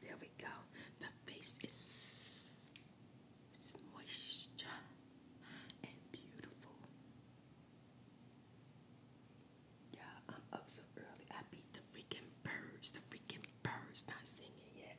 There we go. The face is, moisture and beautiful. Yeah, I'm up so early. I beat the freaking birds. The freaking birds not singing yet.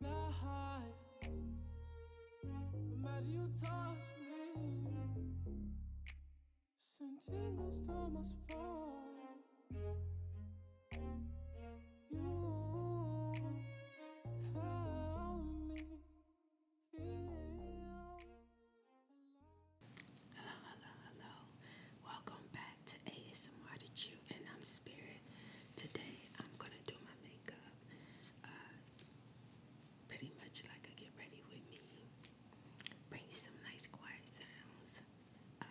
life. Imagine my You help me Hello, hello, hello. Welcome back to ASMR to you, and I'm Spirit today I'm gonna do my makeup uh, pretty much like a get ready with me, bring you some nice quiet sounds uh,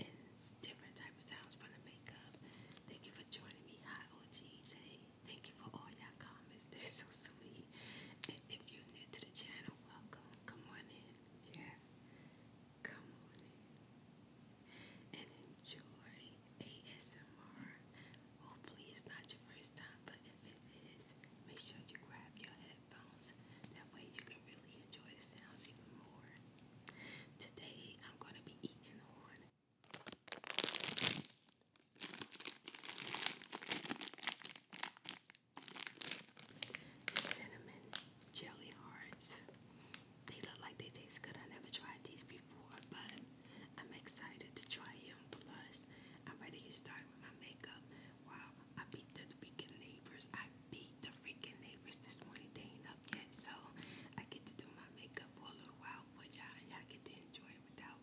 and different type of sounds from the makeup. Thank you for joining me. Hi OGs, thank you for all y'all comments, they're so sweet. And if you're new to the channel, welcome. Come on in, yeah. Come on in and enjoy ASMR. Hopefully, it's not your first time, but if it is, make sure you grab your headphones. That way, you can really enjoy the sounds even more. Today, I'm going to be eating on. Cinnamon jelly hearts. They look like they taste good. I never tried these before, but I'm excited to try them. Plus, I'm ready to get started with my makeup. Wow, I beat the freaking neighbors. I beat the freaking neighbors this morning. They ain't up yet, so I get to do my makeup for a little while for y'all, and y'all get to enjoy it without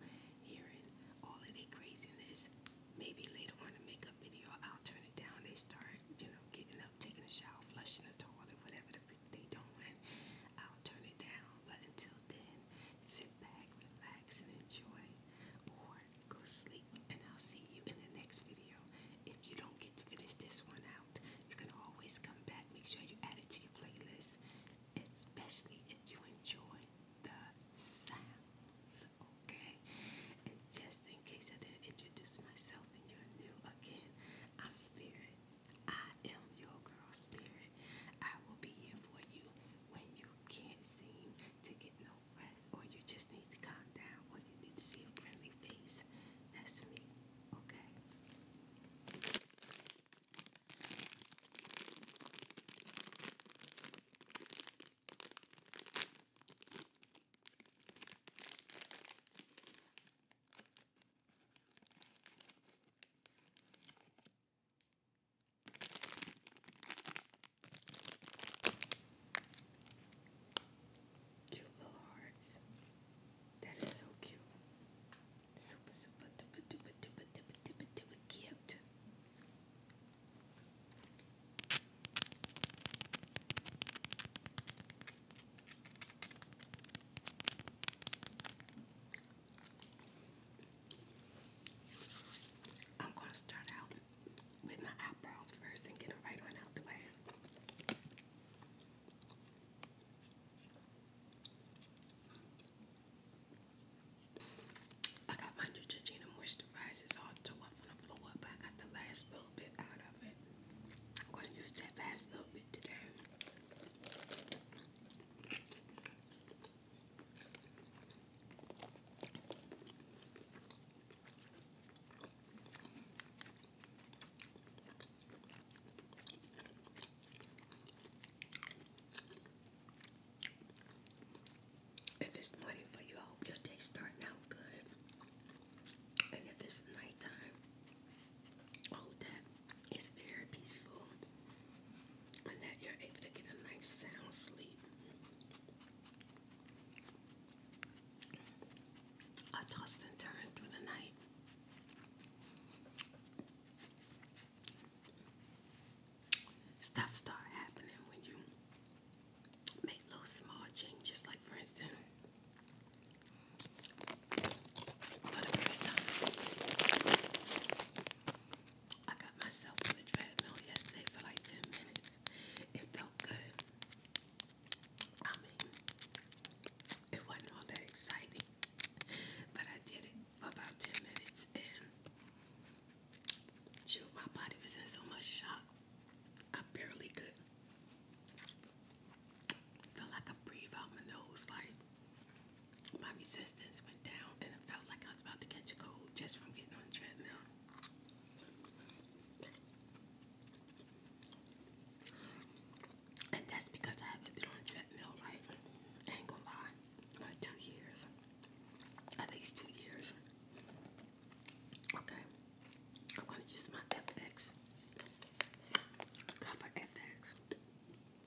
hearing all of their craziness. Maybe later on in the makeup video, I'll turn it down. They start, you know, getting up, taking a shower, flushing the toilet, whatever the freak they doing, I'll turn it down. But until then, sit back, relax, and enjoy, or go sleep. And I'll see you in the next video. If you don't get to finish this one out, you can always come back. Make sure you add it to your playlist, especially if you enjoy the sounds. Okay, and just in case I didn't introduce myself and you're new again, I'm Spirit. I am your girl spirit. I will be here for you when you can't seem to get no rest, or you just need to calm down, or you need to see a friendly face. That's me, okay? Cute little hearts. That is so cute. Super, super, duper, duper, duper, duper, duper, duper cute. I'm going to start out with my eyebrows first and get them right on out the way. I got my Neutrogena moisturizer, all tore up from the floor, but I got the last little bit out of it. I'm going to use that last little bit today. If it's morning for you, I hope your day's starting out good. And if it's nighttime, I hope it's very peaceful, and that you're able to get a nice sound sleep. I tossed and turned through the night. Stuff start happening when you make little small changes, like for instance, for the first time, I got myself on the treadmill yesterday for like 10 minutes. It felt good. I mean, it wasn't all that exciting, but I did it for about 10 minutes and shoot, my body was in so much shock. I barely could feel like I breathe out my nose like my resistance went down and it felt like I was about to catch a cold just from getting on the treadmill. And that's because I haven't been on treadmill like, ain't gonna lie, like two years. At least two years. Okay. I'm gonna use my FX. Cover FX.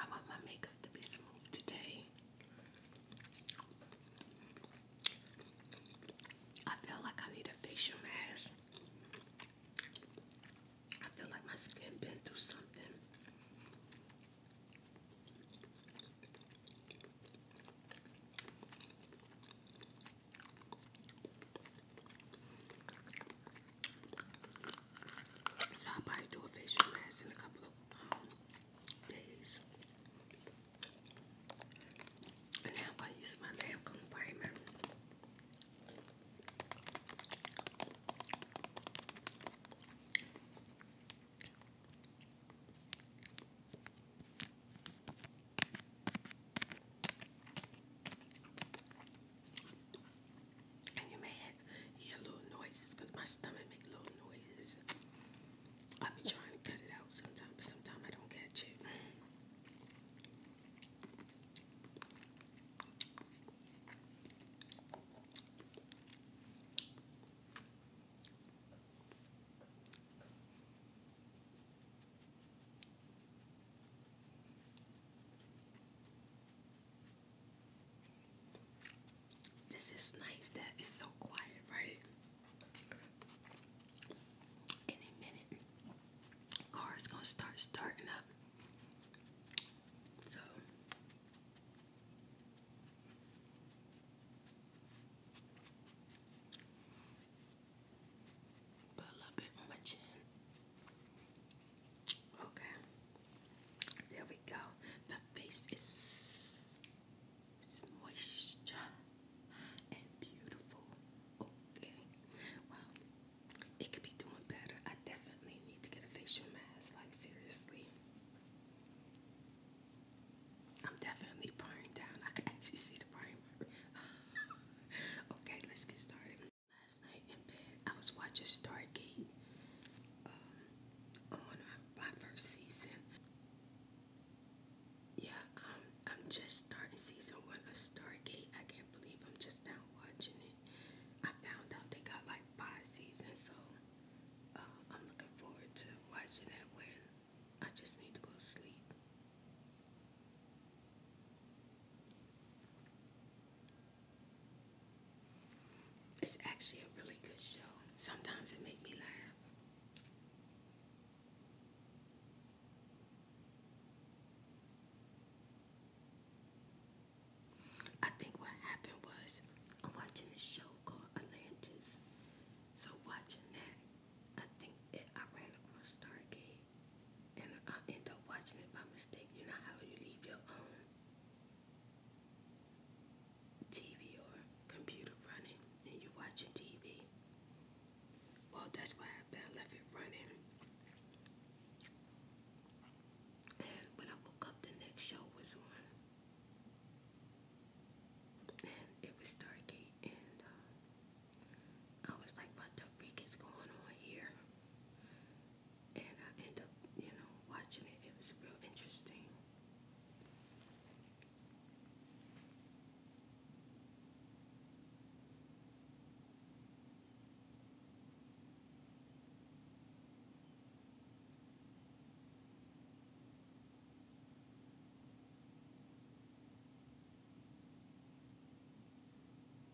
I want my makeup to be smooth today. I feel like I need a facial mask. I feel like my skin been through something. So I'll probably do a facial mask in a couple of um, days. And now i use my Lancome primer. And you may hear little noises because my stomach makes little noises. I'll be trying to cut it out sometimes, but sometimes I don't catch it. This is nice that it's so quiet, right? In minute, car's gonna start starting up. So Okay. There we go. The face is, moisture and beautiful. Okay. Well, it could be doing better. I definitely need to get a facial mask. Like, seriously. I'm definitely pouring down. I can actually see the primary. okay, let's get started. Last night in bed, I was watching Stargate um, on my, first season. Yeah, um, I'm just starting season one of Stargate. I can't believe I'm just now watching it. I found out they got like five seasons, so uh, I'm looking forward to watching that when I just need to go to sleep. It's actually a really good show. Sometimes it make me laugh. I think what happened was I'm watching a show called Atlantis. So watching that, I think I ran across Stargate and I end up watching it by mistake. You know how you leave your own TV or computer running and you watching TV. Well, that's why I left it running. And when I woke up, the next show was on. And it was Stargate, and uh, I was like, what the freak is going on here? and I end up, you know, watching it. It was real interesting.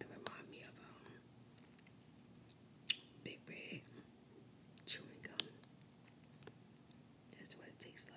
It reminds me of um, Big Red chewing gum. That's what it tastes like.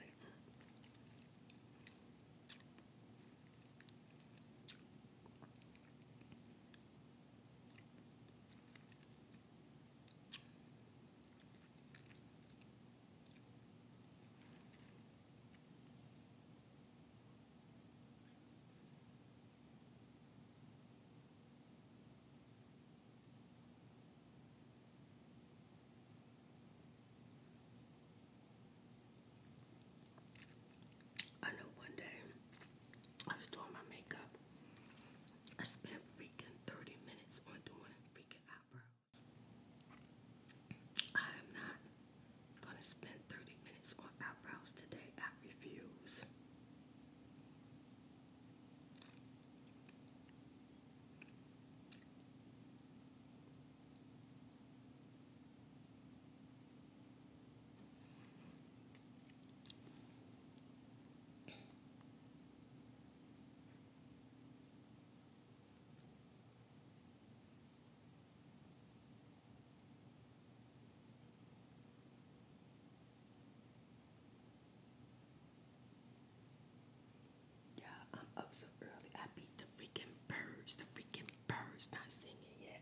I know one day I was doing my makeup. I spent freaking 30 minutes on doing freaking eyebrows. I am not Gonna spend 30 minutes on eyebrows today. I refuse. Yeah, I'm up so early. I beat the freaking birds. The freaking birds not singing yet.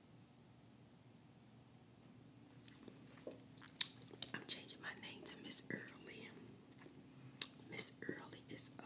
I'm changing my name to Miss Early. Miss Early is up.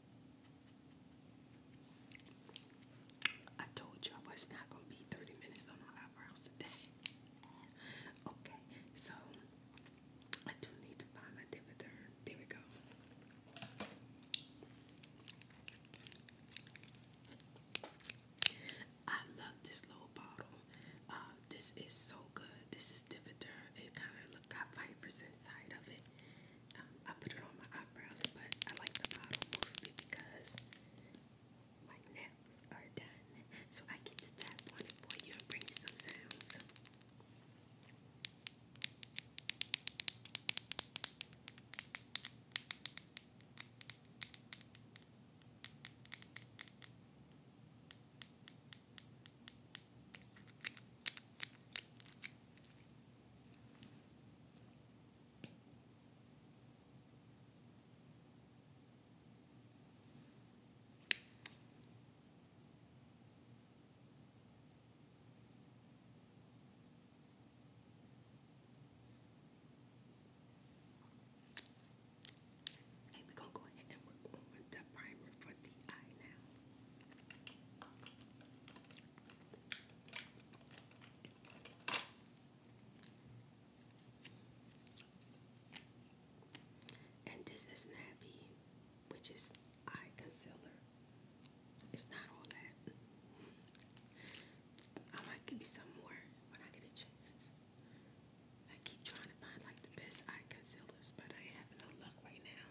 I told you I was not going to be 30 minutes on my eyebrows today. okay, so I do need to find my dividend. There we go. I love this little bottle. Uh, this is so good. This is Dividur. It kind of look got vipers inside of it. I put it on my eyebrows, but I like the bottle mostly because my nails are done. So I get to tap on it for you and bring you some sounds. And we're going to go ahead and work on the primer for the eye now. And this is Nappy, which is eye concealer. It's not all that. I might give you some more when I get a chance. I keep trying to find like the best eye concealers, but I have no luck right now.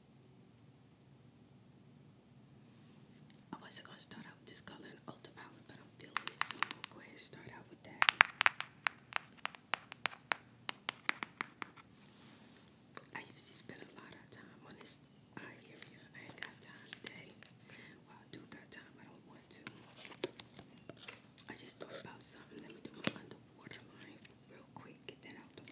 I wasn't gonna start out with this color ultra ultraviolet, but I'm feeling it, so I'm gonna go ahead and start out with that. I usually spend a lot of time on this I ain't got time today. Well, I do got time, I don't want to. I just thought about something. Let me do my underwater real quick, get that out the way.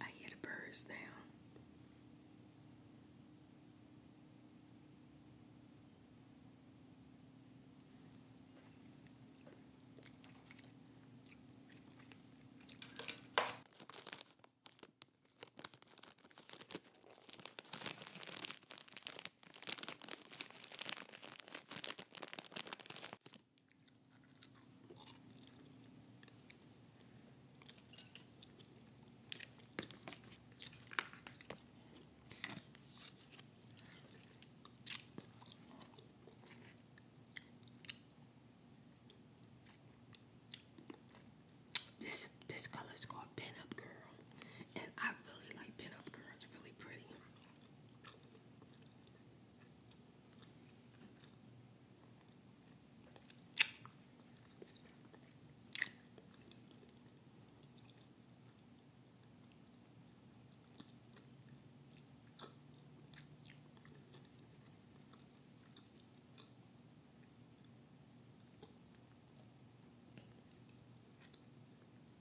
I hear the birds now. This this color is called Pin Up Girl and I really like pinup girl. It's really pretty.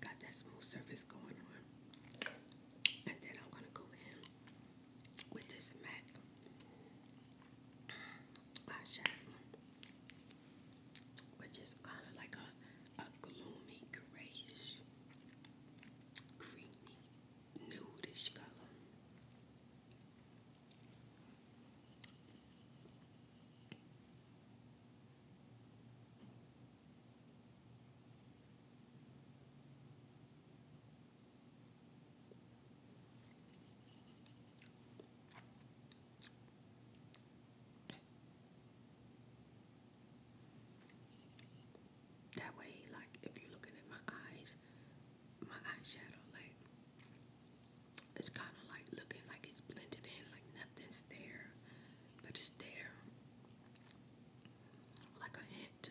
Got that smooth surface going on. And then I'm going to go in with this MAC eyeshadow, which is kind of like a, a gloomy, grayish, creamy, nudish color. That way, like if you're looking at my eyes, my eyeshadow, like it's kind of like looking like it's blended in, like nothing there, but it's there like a hint.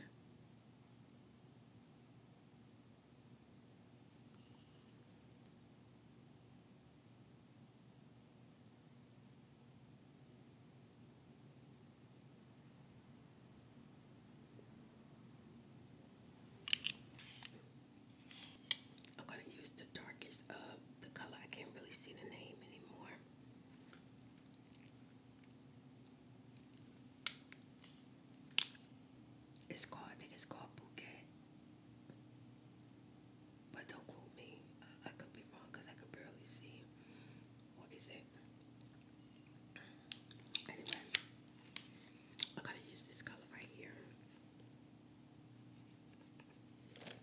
I'm going to use the darkest of the color. I can't really see the name anymore. It's called, I think it's called Bouquet. But don't quote me. I, I could be wrong because I could barely see. What is it? Anyway, I gotta use this color right here.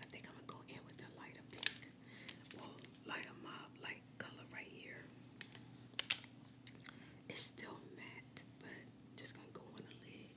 I think I'm gonna go in with the lighter pink, lighter mob light color right here. It's still matte, but just gonna go on the lid.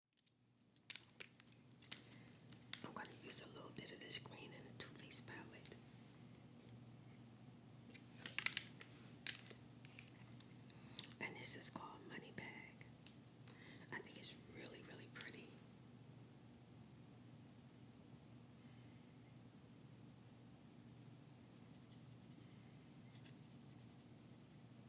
I'm going to use a little bit of this green in a Too Faced palette. And this is called Money Bag. I think it's really, really pretty.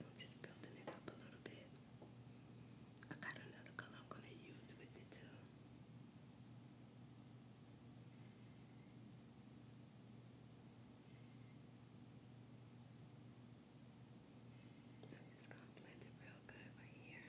I'm just building it up a little bit. I got another color I'm going to use with it too. I'm just gonna blend it real good right here.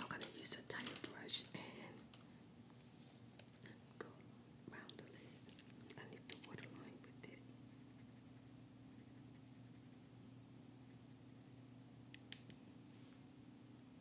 I'm going to use a tiny brush and go around the lid. I need the waterline with it.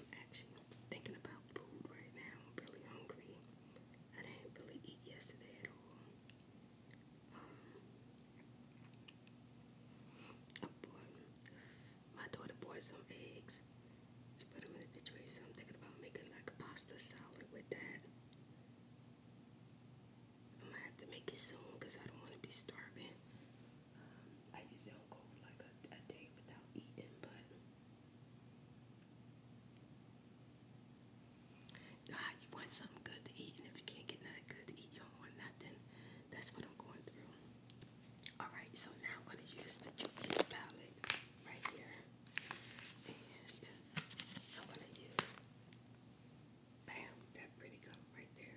I'm actually thinking about food right now. really hungry. I didn't really eat yesterday at all. Um, I bought, my daughter bought some eggs. She put them in the refrigerator, so I'm thinking about making like a pasta salad with that. I'm gonna have to make it soon because I don't want to be starving. Um, I usually don't go like a day without eating, but now, you want something good to eat, and if you can't get nothing good to eat, you don't want nothing. That's what I'm going through. Alright, so now I'm going to use the Juvia's palette right here. And I'm going to use, bam, that pretty color right there.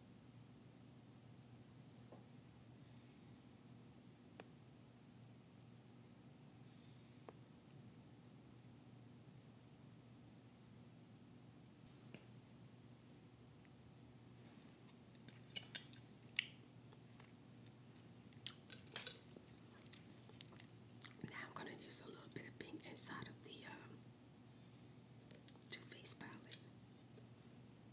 Now I'm going to use a little bit of pink inside of the um, Too Faced palette.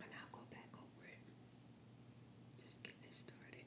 And I'll go back over it. Just get this started.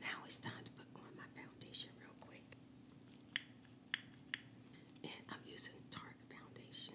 Now it's time to put on my foundation real quick. And I'm using Tarte foundation.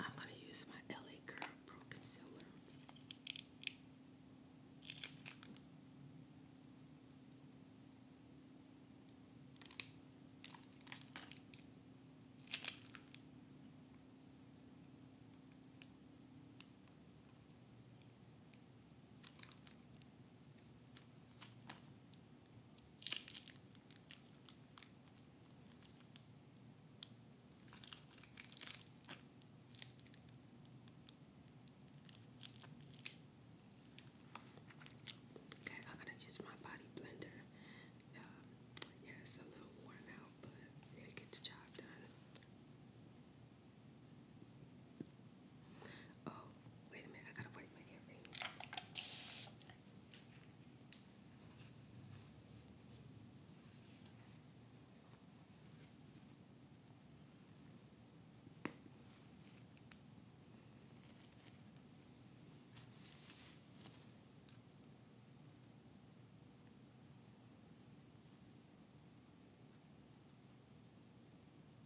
I'm going to use my LA Girl Pro Concealer. Okay, I'm gonna use my body blender. Um, yeah, it's a little worn out, but it'll the job done. Oh, wait a minute, I gotta wipe my earring.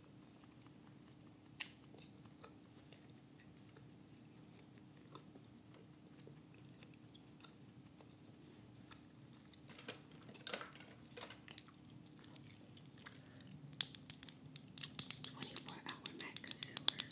24 hour matte concealer.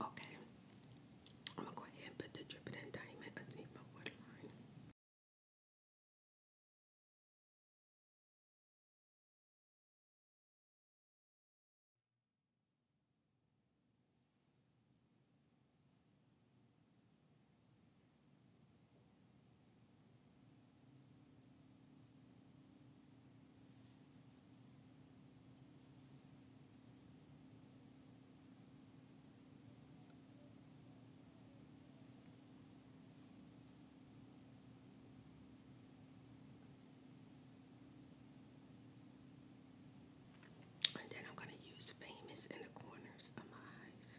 Okay, I'm gonna go ahead and put the dripping and diamond underneath my waterline. And then I'm going to use famous in the corners of my eyes.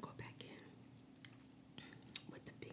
Go back in with the pink.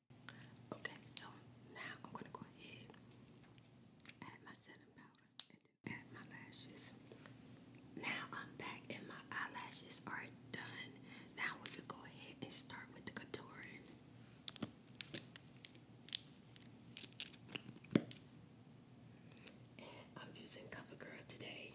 Okay, so now I'm gonna go ahead, add my setting powder, and add my lashes. Now I'm back and my eyelashes are done. Now we can go ahead and start with the contouring. I'm using CoverGirl today.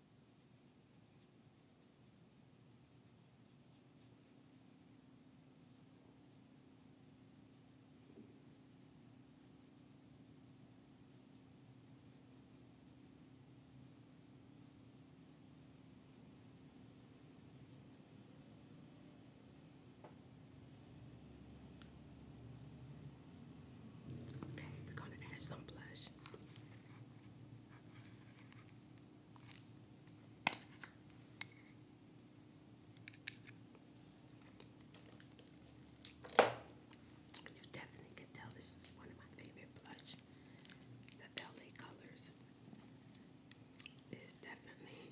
Okay, we're going to add some blush. You definitely can tell this is one of my favorite blush. The LA colors is definitely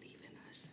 leaving us.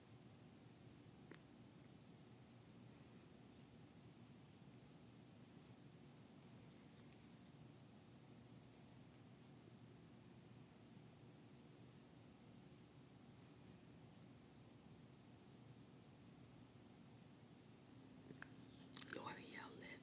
L'Oreal lip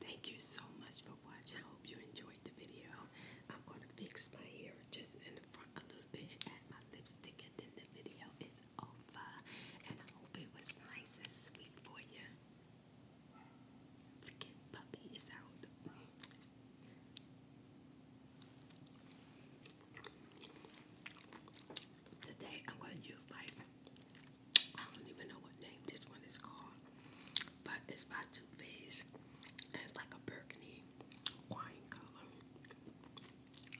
Thank you so much for watching. I hope you enjoyed the video. I'm gonna fix my hair just in the front a little bit and add my lipstick and then the video is over. And I hope it was nice and sweet for you. Today I'm gonna use like I don't even know what name this one is called, but it's by Too Faced, and it's like a burgundy wine color.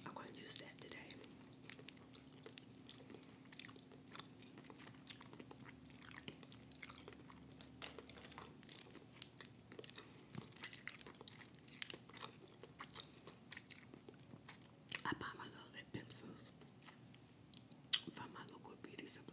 I'm gonna use that today. I buy my little lip pencils from my local beauty supply.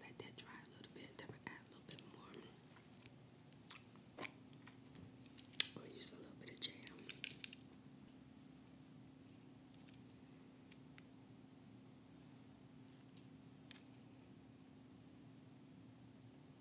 Let that dry a little bit, then I add a little bit more. Or use a little bit of jam.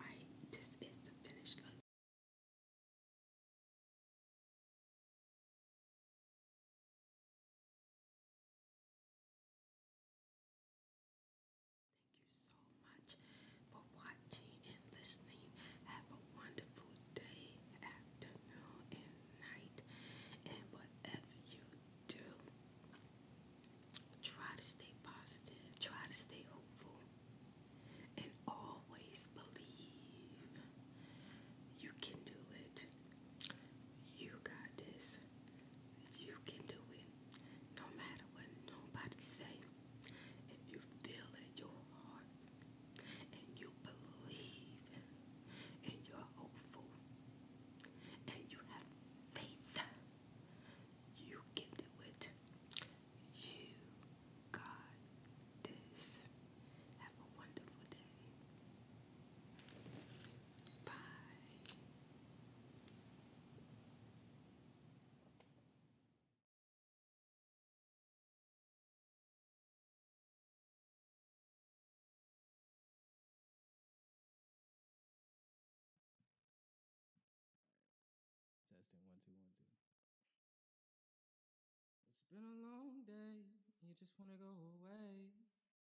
Right, this is the finished Thank you so much for watching and listening. Have a wonderful day, afternoon, and night. And whatever you do, try to stay positive, try to stay hopeful, and always believe you can do it. You got this. You can do it. No matter what nobody say. If you feel in your heart and you believe and you're hopeful and you have faith, you can do it. You got this. Have a wonderful day. Bye. It's been a long day, you just wanna go away.